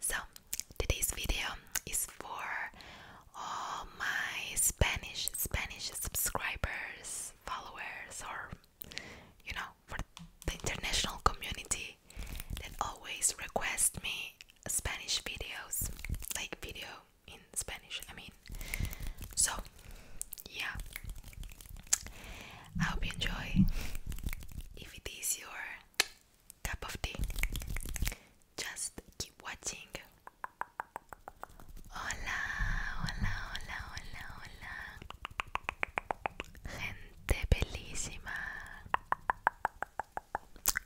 So, today's video is for all my Spanish Spanish subscribers, followers, or you know, for the international community that always request me Spanish videos, like video in Spanish. I mean, so yeah, I hope you enjoy. If it is your cup of tea, just keep watching. Hola, hola, hola, hola, hola. Gente bellissima.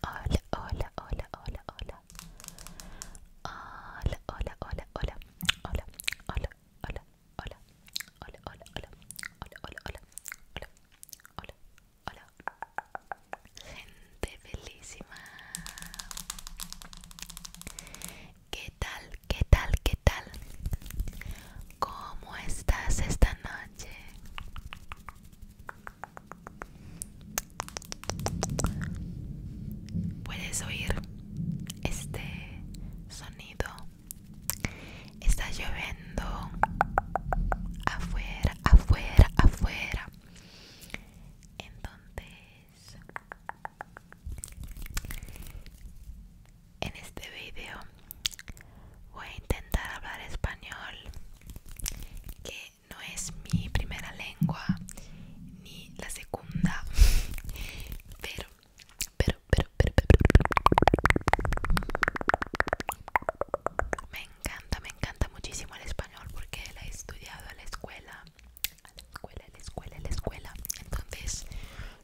Hola, hola, hola, hola, hola. Hola, hola, hola, hola. Hola, hola, hola. hola, hola, hola, hola, hola, hola, hola, hola, hola, hola, gente bellísima. ¿Qué tal, qué tal, qué tal? ¿Cómo estás esta noche? Puedes oír este sonido Está lloviendo afuera, afuera, afuera. Entonces, en este video voy a intentar hablar español, que no es mi primera lengua ni la segunda, pero pero, pero, pero, pero, me encanta, me encanta muchísimo el español porque la he estudiado a la escuela, a la escuela, a la escuela, a la escuela. Entonces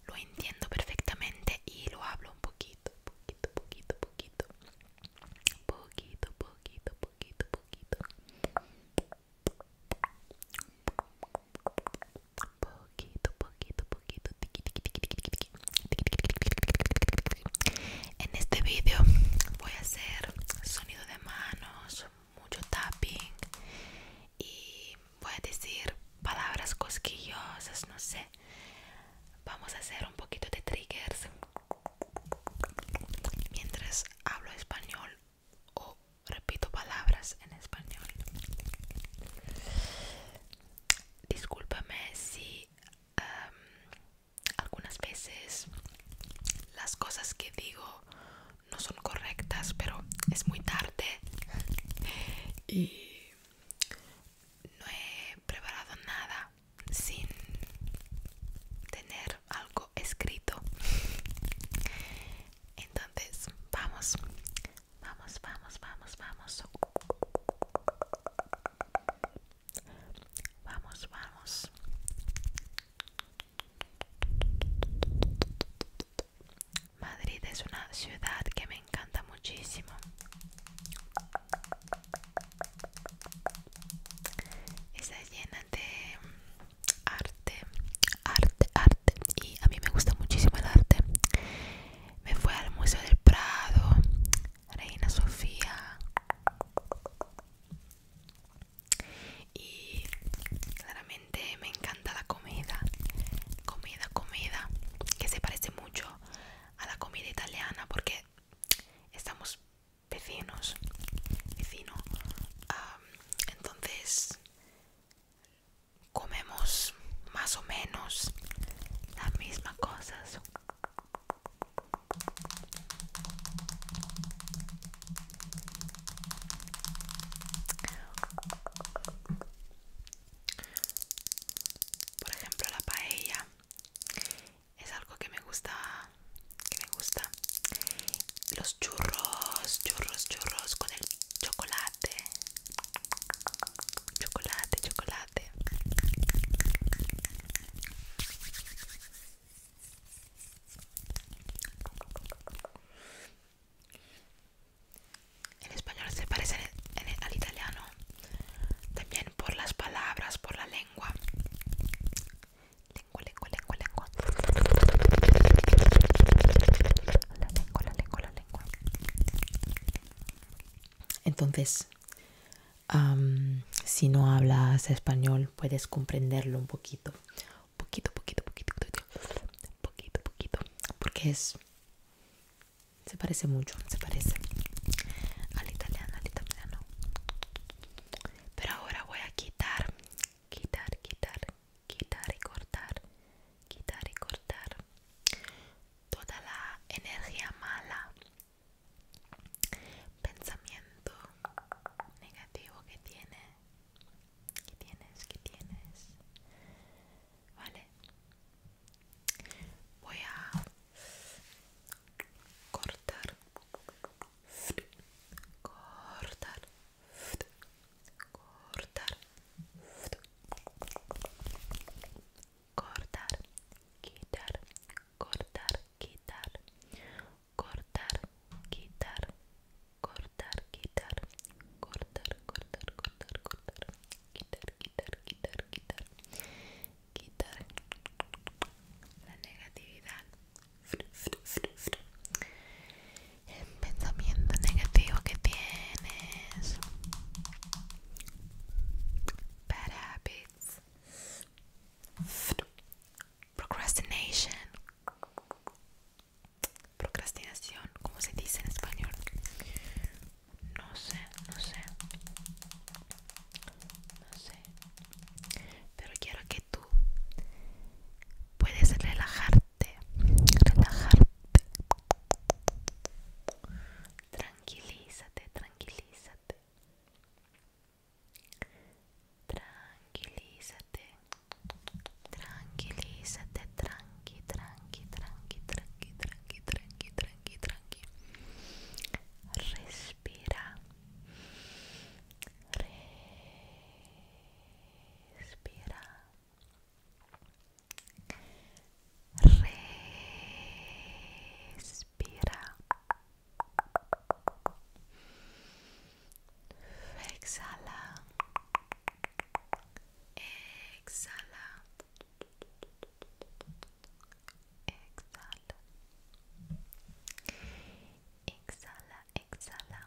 lo entiendo perfectamente y lo hablo un poquito, poquito, poquito, poquito, poquito, poquito, poquito, poquito poquito, poquito, poquito. En este vídeo voy a hacer sonido de manos, mucho tapping y voy a decir palabras cosquillosas, no sé. Vamos a hacer un poquito de triggers mientras hablo español o repito palabras en español discúlpame si algunas veces las cosas que digo no son correctas, pero es muy tarde y no he preparado nada sin tener algo escrito. Entonces, vamos Vamos, vamos, vamos, vamos. Vamos, vamos. Madrid es una ciudad que me encanta muchísimo. Está llena de arte, arte, arte. Y a mí me gusta muchísimo el arte me fui al Museo del Prado, Reina Sofía y claramente me encanta la comida, comida, comida, que se parece mucho a la comida italiana porque estamos vecinos, vecino, entonces comemos más o menos las mismas cosas por ejemplo la paella es algo que me gusta que me gusta los churros churros churros con el chocolate Chocolate, chocolate. En español se parece al italiano, también por las palabras, por la lengua. Lengua, lengua, lengua, lengua. La lengua, la lengua, la lengua. Entonces, si no hablas español, puedes comprenderlo un poquito. Poquito, poquito, poquito, poquito, poquito, poquito. Porque es... Se parece mucho, se parece al italiano, al italiano. Pero ahora voy a quitar, quitar, quitar, quitar y cortar, quitar y cortar toda la energía mala, pensamiento negativo que tiene, que tienes, que tienes, vale. Voy a cortar, cortar, cortar cortar quitar cortar quitar cortar quitar cortar quitar cortar cortar cortar cortar quitar quitar quitar quitar quitar la negatividad el pensamiento negativo que tienes. Bad habits. Procrastination. Procrastinación, ¿cómo se dice en español? No sé, no sé. No sé. Pero quiero que tú puedes relajarte relajarte, relajarte. Tranquilízate, tranquilízate. Tranquilízate. Tranquilízate, tranqui, tranqui, tranqui, tranqui, tranqui, tranqui, tranqui, tranqui. Respira. Respira. Respira. Exhala. Exhala. Exhala. Exhala, exhala.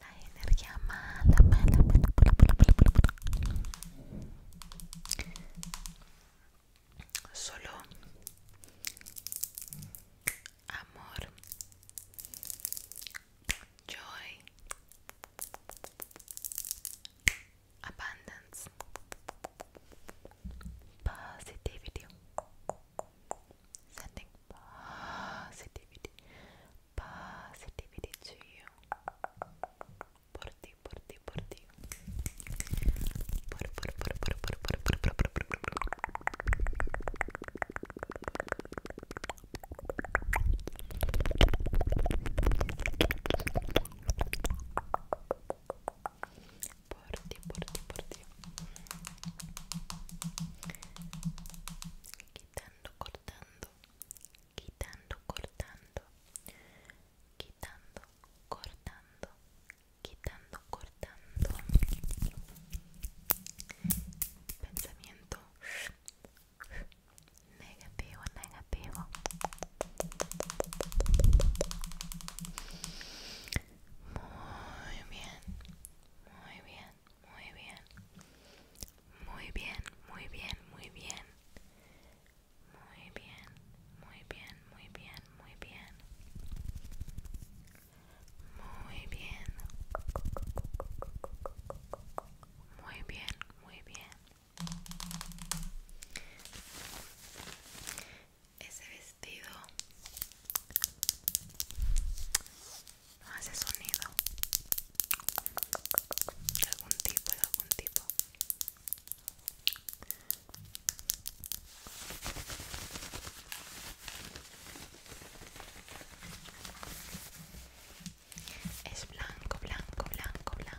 la energía mala, mala, mala, Solo amor, joy, abundance, positivity, sending positivity, te to you. Por ti, por ti, por ti. Por, por, por, por, ti, por ti, por ti. Quitando, cortando, quitando, cortando, quitando, cortando, quitando, cortando. Pensamiento negativo, negativo. Muy bien, muy bien bien, muy bien. Muy bien, muy bien, muy bien. Muy bien, muy bien, muy bien, muy bien. Muy bien. Muy bien, muy bien. Ese vestido hace sonido algún tipo algún tipo es blanco blanco blanco blanco es blanco blanco blanco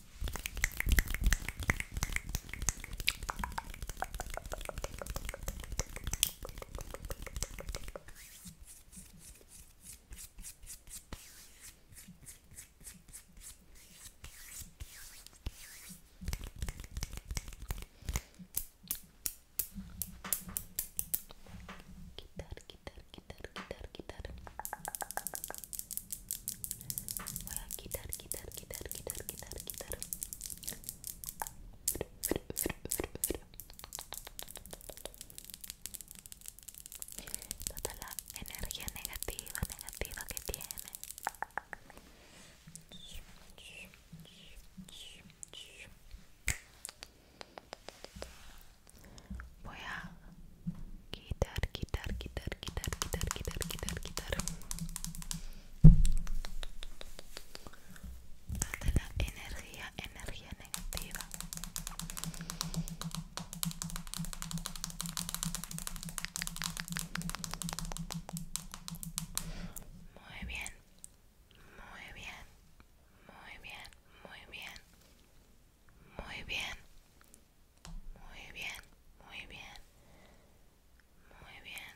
gitar gitar gitar gitar gitar voy a quitar quitar quitar quitar quitar quitar toda la energía negativa negativa que tiene Voy a quitar, quitar, quitar, quitar, quitar, quitar, quitar, quitar hasta la energía, energía negativa muy bien, muy bien, muy bien, muy bien, muy bien, Muy bien, muy bien. Muy bien.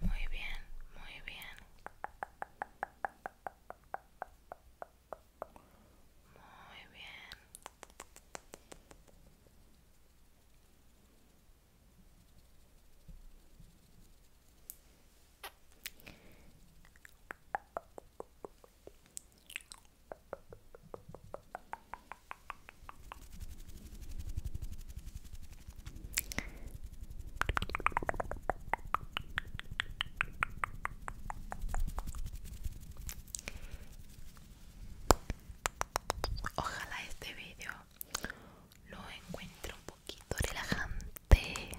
Muy bien, muy bien. Muy bien. Ojalá este vídeo lo encuentre un poquito relajante.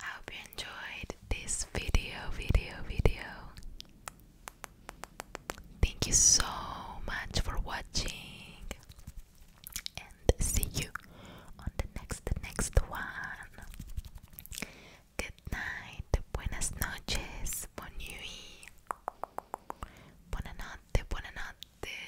I hope you enjoyed this video, video, video. Thank you so much for watching, and see you on the next, next one. Good night, buenas noches, bon nuit, buonanotte, buonanotte.